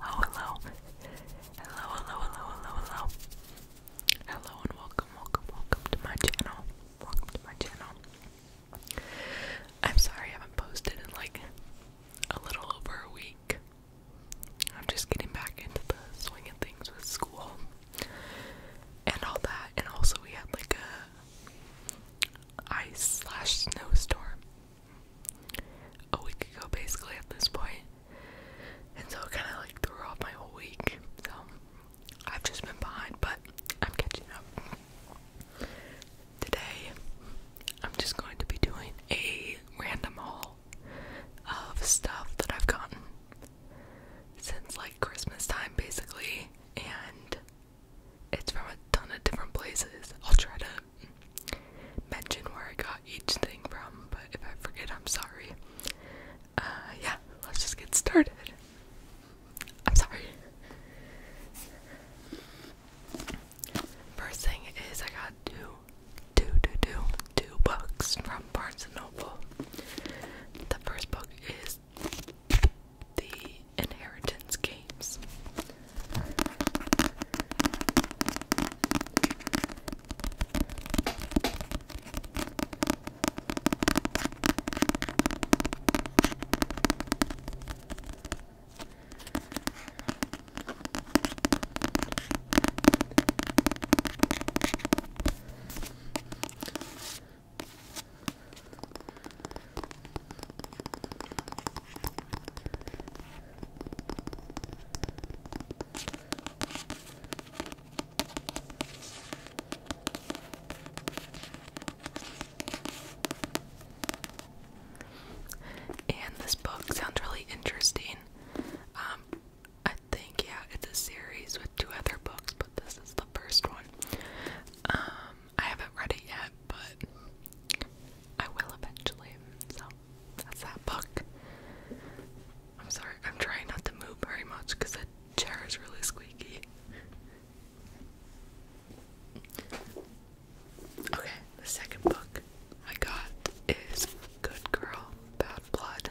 Hello, hello. Hello, hello, hello, hello, hello. and welcome, welcome, welcome to my channel. Welcome to my channel. I'm sorry I haven't posted in like a little over a week. I'm just getting back into the swing of things with school and all that. And also we had like a ice slash snowstorm a week ago basically at this And so it kind of like threw off my whole week. So I've just been behind, but I'm catching up. Today, I'm just going to be doing a random haul of stuff that I've gotten since like Christmas time basically. And it's from a ton of different places. I'll try to mention where I got each thing from, but if I forget, I'm sorry. Uh, yeah, let's just get started. I'm sorry. First thing is I got two, two, two, two, two books from Barnes and Noble. The first book is the inheritance games. And this book sounds really interesting. Um, I think, yeah, it's a series with two other books, but this is the first one. Um, I haven't read it yet, but I will eventually. So that's that book. I'm sorry, I'm trying not to move very much because the chair is really squeaky. Okay, the second book I got is Good Girl, Bad Blood.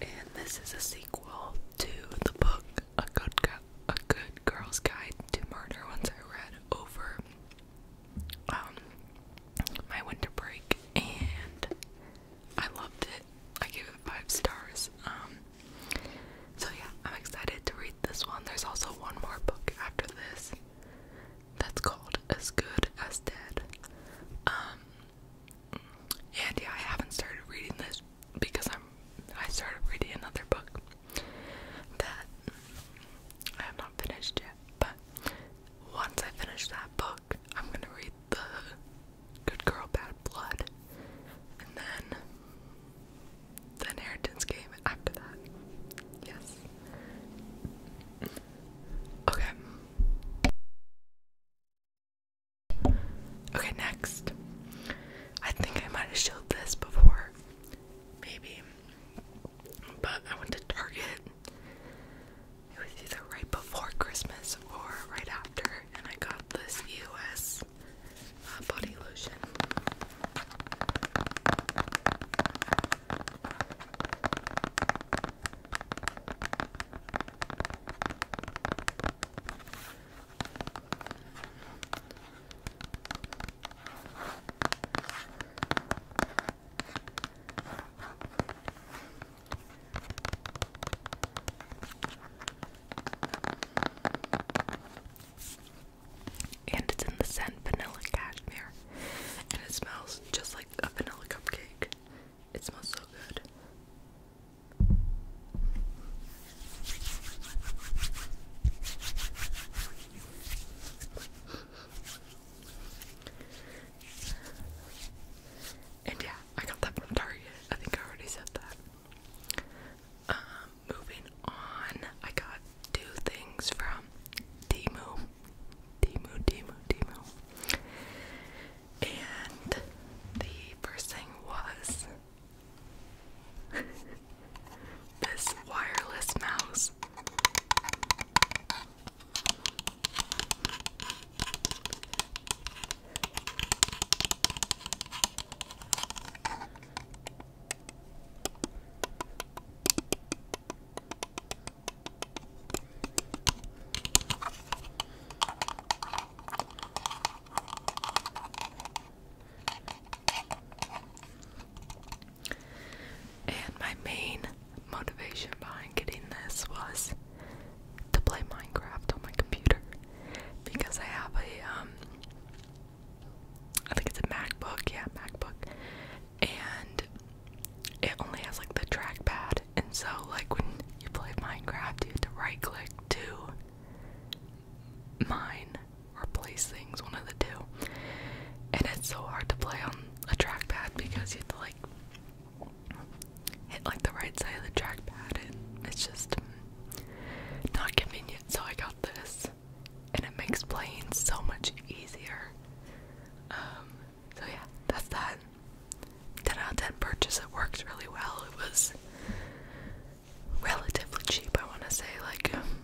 And this is a sequel to the book A Good Girl's Guide to Murder once I read over um, my winter break and I loved it. I gave it five stars. Um, so yeah, I'm excited to read this one. There's also one more book after this that's called As Good as Dead. Um, and yeah, I haven't started reading this because I'm I started reading another book that I have not finished yet. But once I finish that book, I'm gonna read the Good Girl, Bad Blood, and then The Inheritance Game after that. Yes. Okay. Okay, next. I think I might have showed this before. Maybe. But I went to Target. was either right before Christmas or right and I got this US uh, body lotion. And it's in the scent vanilla cashmere. And it smells just like a vanilla cupcake. It smells so good. And yeah, I got that from Target. I think I already said that. Um, moving on, I got two things from Timu. Timu, Timu, Timu. And the first thing was this wireless mouse. And my main motivation behind getting this was to play Minecraft on my computer because I have a um, think it's a MacBook, yeah, MacBook. And it only has like the trackpad and so like when you play Minecraft you have to right click to mine or place things, one of the two. And it's so hard to play on a trackpad because you have to like hit like the right side of the trackpad, and it's just not convenient. So I got this, and it makes playing so much easier. Um, so yeah, that's that. 10 out of 10 purchase, it worked really well. It was relatively cheap, I want to say like um,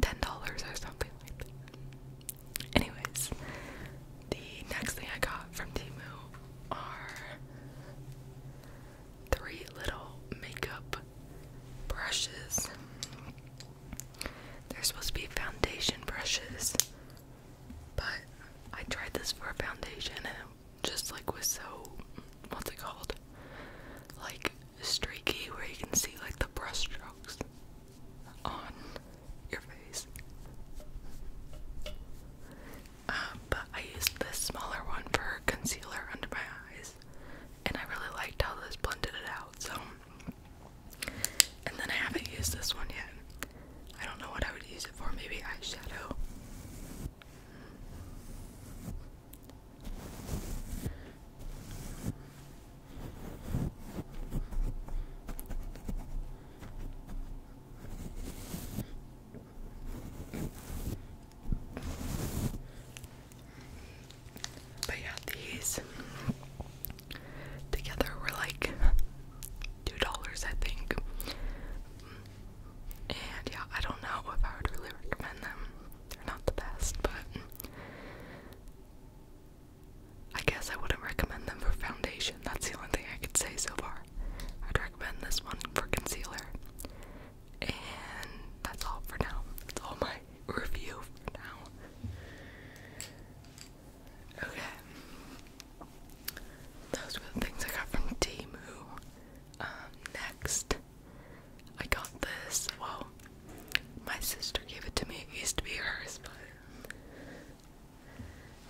$10 or something like that. Anyways, the next thing I got from Timu are three little makeup brushes. They're supposed to be foundation brushes, but I tried this for a foundation and it just like was so what's it called? Like streaky where you can see like the brush strokes on your face. Um, but I used this smaller one for concealer under my eyes, and I really liked how this blended it out. So, and then I haven't used this one yet. I don't know what I would use it for. Maybe eyeshadow. But yeah, these together were like two dollars, I think. And yeah, I don't know if I would really recommend them. They're not the best, but I guess I wouldn't recommend them for foundation. That's the only thing I could say so far. I'd recommend this one for concealer. And that's all for now. That's all my review for now. Okay. Those were the things I got from Temu. Um, next, I got this. Well, my sister gave it to me. It used to be hers, but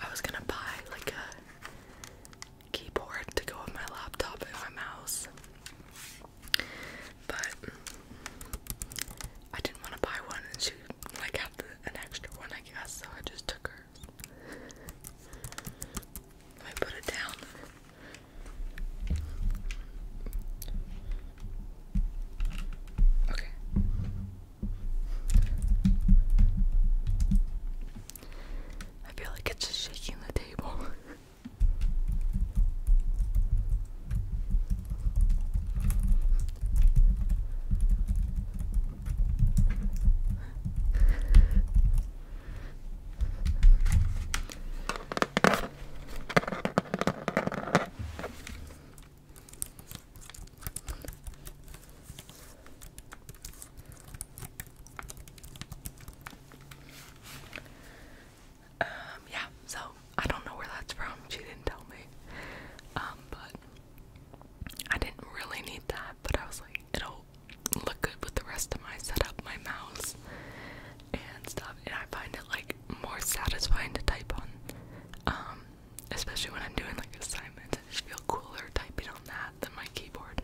I was gonna buy like a keyboard to go with my laptop and my mouse. But I didn't want to buy one, and she like an extra one, I guess, so I just took hers. Let me put it down. Okay. I feel like it's just shaking the table. Um, yeah, so I don't know where that's from. She didn't tell me. Um, but I didn't really need that, but I was like, it'll look good with the rest of my setup, my mouse and stuff. And I find it like more satisfying to type on. Um, especially when I'm doing like assignments, I just feel cooler typing on that than my keyboard.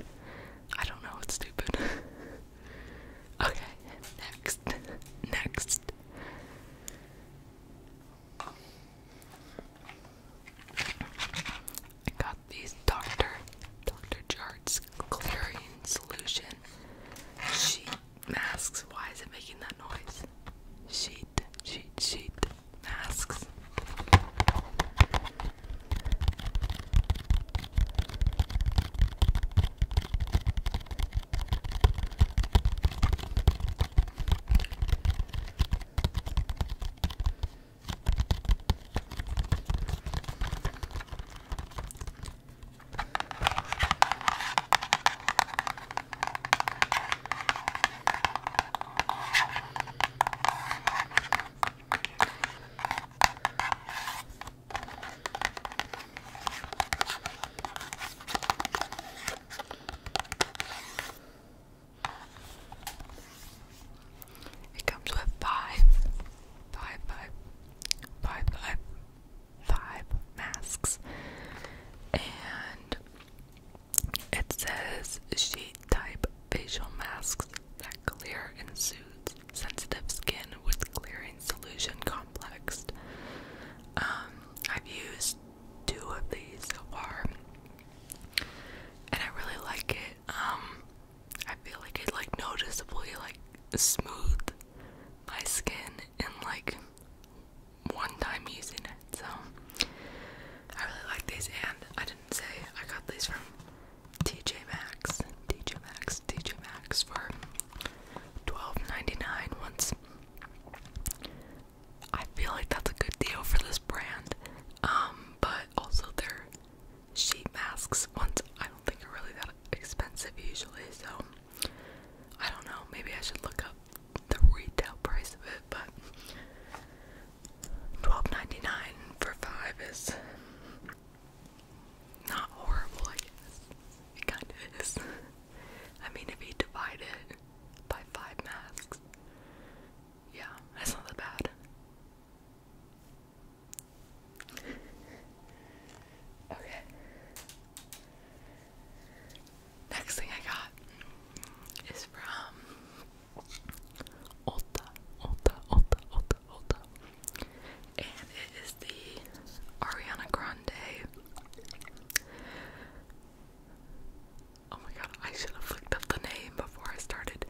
I don't know, it's stupid. okay, next. next. I got these Dr. Dr. Jart's chlorine solution sheet masks. Why is it making that noise? Sheet, sheet, sheet masks. It comes with five, five, five, five, five, five masks, and it says sheet type facial masks that clear and soothe sensitive skin with clearing solution complex. Um, I've used two of these so far, and I really like it. Um, I feel like it like noticeably like smooth my skin in like one time using it. So I really like these, and I didn't say I got these from TJ Maxx, TJ Maxx, TJ Maxx for $12.99 once. I feel like that's a good deal for this brand. Um, but also their sheet masks once I don't think are really that expensive usually, so I don't know, maybe I should look up the retail price of it, but $12.99 for five is not horrible, I guess. It kind of is. I mean, if you divide it by five masks, yeah, that's not that bad. Okay. Next thing I got is from Ota, Ota, Ota, Ota, Ota. And it is the Ariana Grande. Oh my god, I should have looked up the name before I started.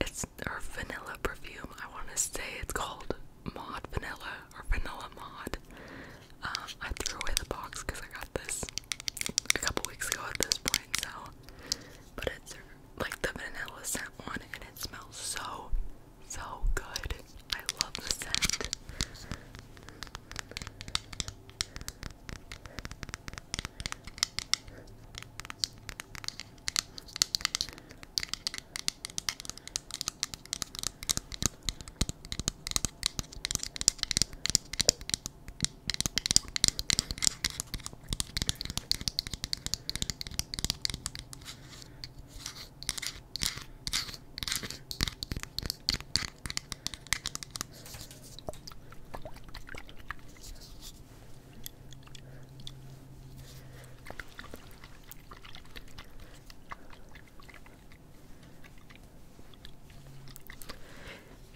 It's her vanilla perfume. I want to say it's called Mod Vanilla or Vanilla Mod. Um, I threw away the box because I got this a couple weeks ago at this point, so. But it's like the vanilla scent one, and it smells so, so good. I love the scent.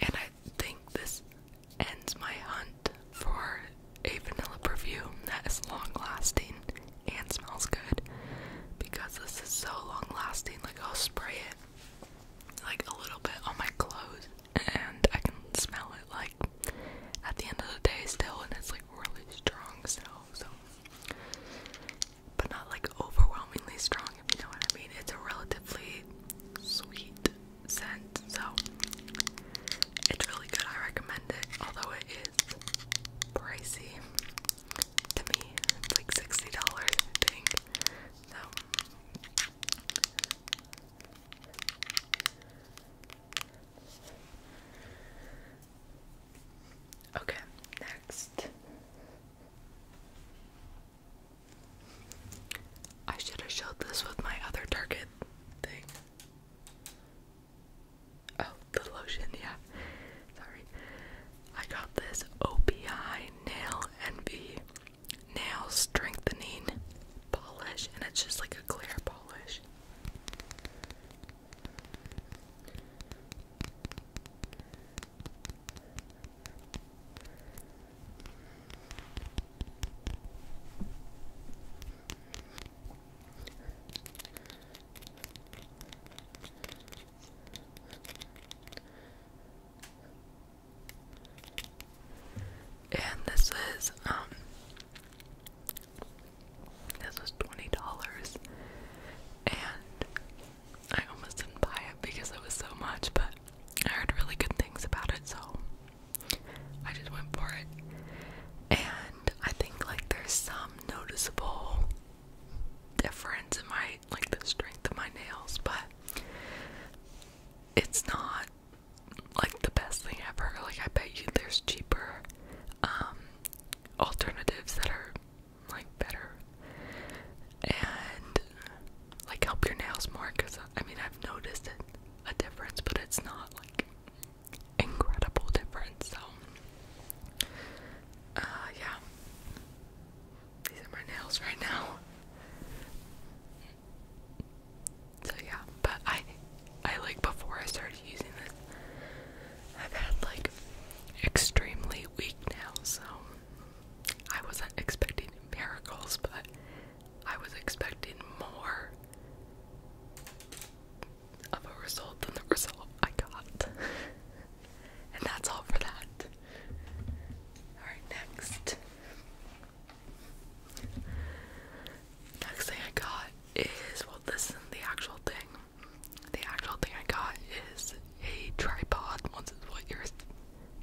And I think this ends my hunt for a vanilla perfume that is long lasting and smells good because this is so long lasting. Like, I'll spray it like a little bit on my clothes and I can smell it like at the end of the day still, and it's like really strong still, so but not like overwhelmingly strong, if you know what I mean. It's a relatively sweet cents, so it's really good. I recommend it, although it is pricey to me. It's like sixty dollars, I think. So. Okay, next. I should have showed this with my other Target thing. Oh, the lotion, yeah. Sorry. I got this OPI Nail Envy Nail Strengthening Polish, and it's just like a clear polish. And this is um this was twenty dollars and I almost didn't buy it because it was so much, but I heard really good things about it, so I just went for it. And I think like there's some noticeable difference in my like the strength of my nails, but it's not like the best thing ever. Like I bet you there's cheaper um, alternatives that are like better and like help your nails more because I mean I've noticed it a difference, but it's not like incredible difference. So, uh, yeah, these are my nails right now. So yeah, but I, I like before I started using this, I've had like extremely weak nails, so I wasn't expecting miracles, but I was expecting more of a result than the result I got. and that's all for that. Alright, next. Next thing I got is well, this is the actual thing. The actual thing I got is a tripod, once is what yours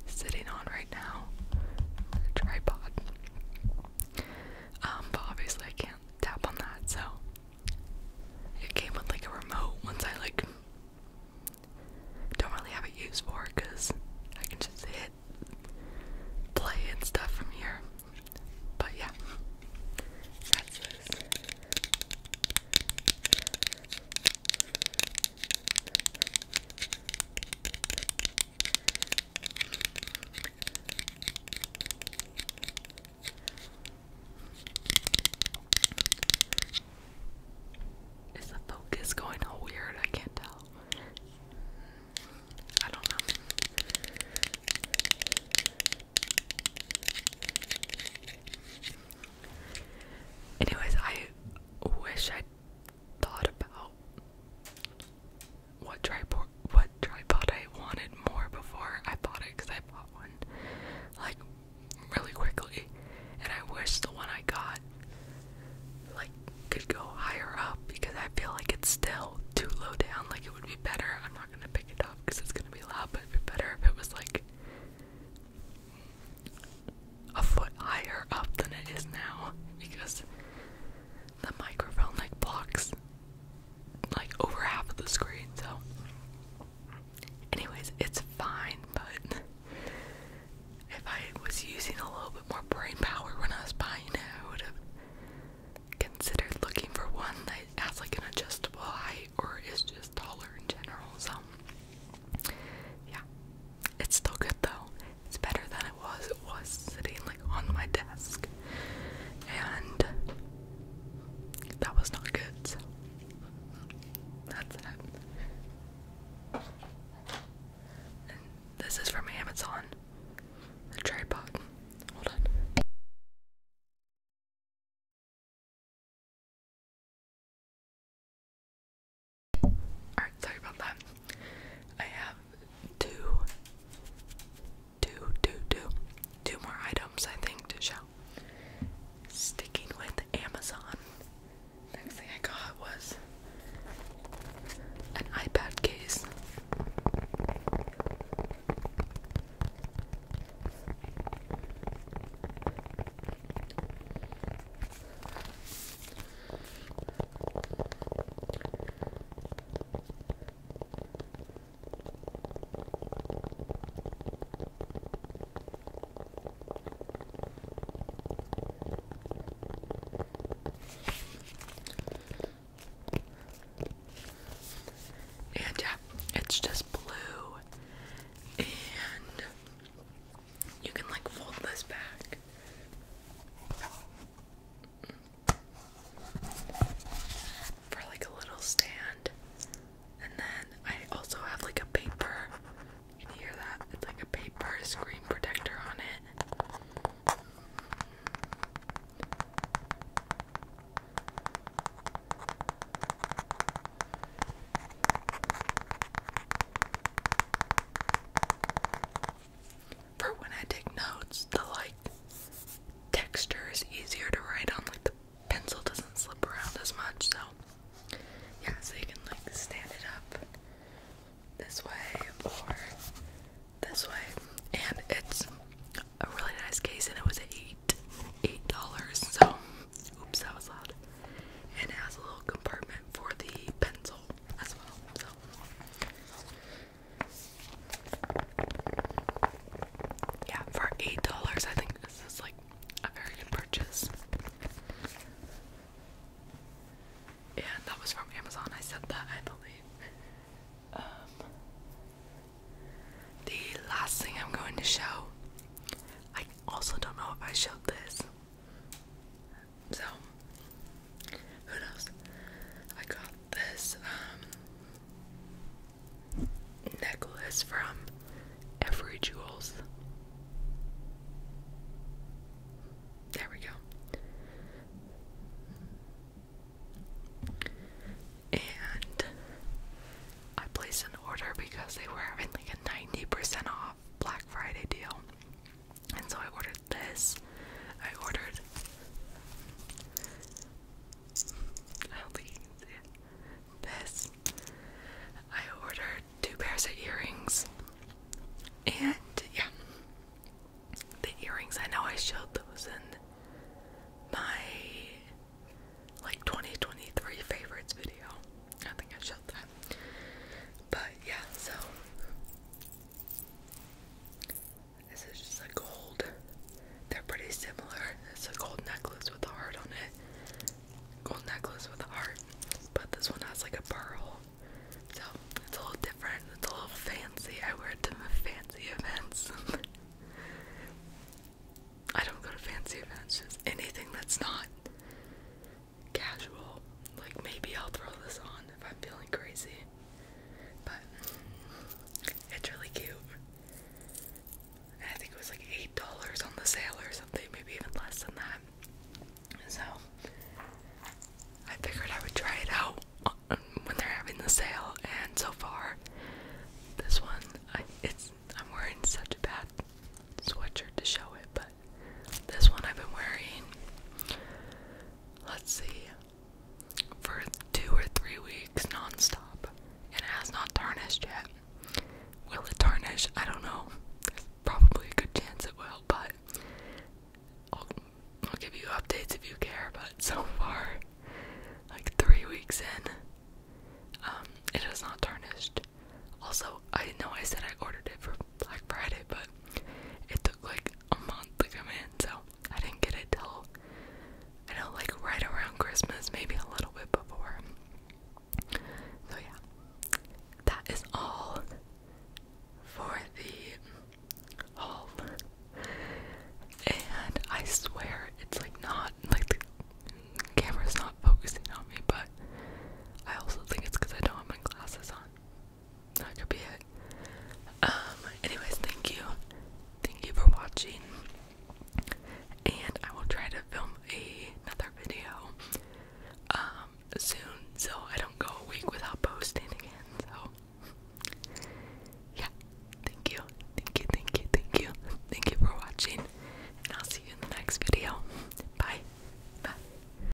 sitting on right now. tripod. Um, but obviously I can't tap on that, so it came with like a remote once I like don't really have it used for because I can just hit play and stuff from here. But yeah. That's this. Is the focus going weird? I can't tell. I don't know. Anyways, I wish I thought about what tripod what tripod I wanted more before I bought it because I bought one like really quickly and I wish the one I got like could go higher up because I feel like it's still too low down like it would be better I'm not gonna pick it up because it's gonna be loud but it'd be better if it was like a foot higher up than it is now because the microphone like blocks like over half of the screen. So, anyways, it's fine, but if I was using a little bit more brain power when I was buying it, I would have considered looking for one that has like an adjustable height or is just taller in general. So, yeah, it's still good though. It's better than it was. It was sitting like on my desk, and that was not good. So that's it. this is from Amazon. The tripod. Hold on. Alright, sorry about that. I have two, two, two, two, two more items I think to show. Sticking with Amazon, next thing I got was an iPad case. And yeah, it's just blue and you can like fold this back. For like a little stand. And then I also have like a paper. You hear that? It's like a paper screen protector on it for when I take notes, the like texture is easier to write on, like the pencil doesn't slip around as much, so yeah, so you can like stand it up this way or this way, and it's a really nice case, and it was eight eight dollars, so oops, that was loud, and it has a little compartment for the pencil yeah, for eight dollars, I think this is like a very good purchase. Yeah, that was from Amazon. I said that, I believe. Um, the last thing I'm going to show, I also don't know if I showed this. So, who knows? I got this um, necklace from Every Jewels. There we go. And I placed an order because they were having like a 90% off Black Friday deal. And so I ordered this. I ordered. I don't This. I ordered two pairs of earrings. And yeah. The earrings, I know I showed those in my like 2023 favorites video. I think I showed that. But yeah, so this is just a gold. They're pretty similar. It's a gold necklace with a heart on it. Gold necklace with a heart. But this one has like a pearl. So it's a little different. It's a little fancy. I wear it to fancy events. I don't go to fancy events, anything that's not casual. Like maybe I'll throw this on if I'm feeling crazy. But it's really cute. I think it was like eight dollars on the sale or something, maybe even less than that. So I figured I would try it out when they're having the sale, and so far, this one, I, it's I'm wearing such a bad sweatshirt to show it, but this one I've been wearing, let's see, for two or three weeks nonstop, and it has not tarnished yet. Will it tarnish? I don't know. probably a good chance it will, but I'll, give you updates if you care. But so far, like three weeks in, um, it has not tarnished. Also, I know I said I ordered it for Black Friday, but it took like a month to come in, so I didn't get it till I know like right around Christmas, maybe a little bit before. So yeah, that is all for the haul, and I swear it's like not like the camera's not focusing on me, but I also think it's because I don't have my glasses on. That could be it. Um, anyways, thank you. Thank you for watching. And I will try to film another video um soon so I don't go a week without posting again. So yeah. Thank you. Thank you. Thank you. Thank you. Thank you for watching. And I'll see you in the next video. Bye. Bye.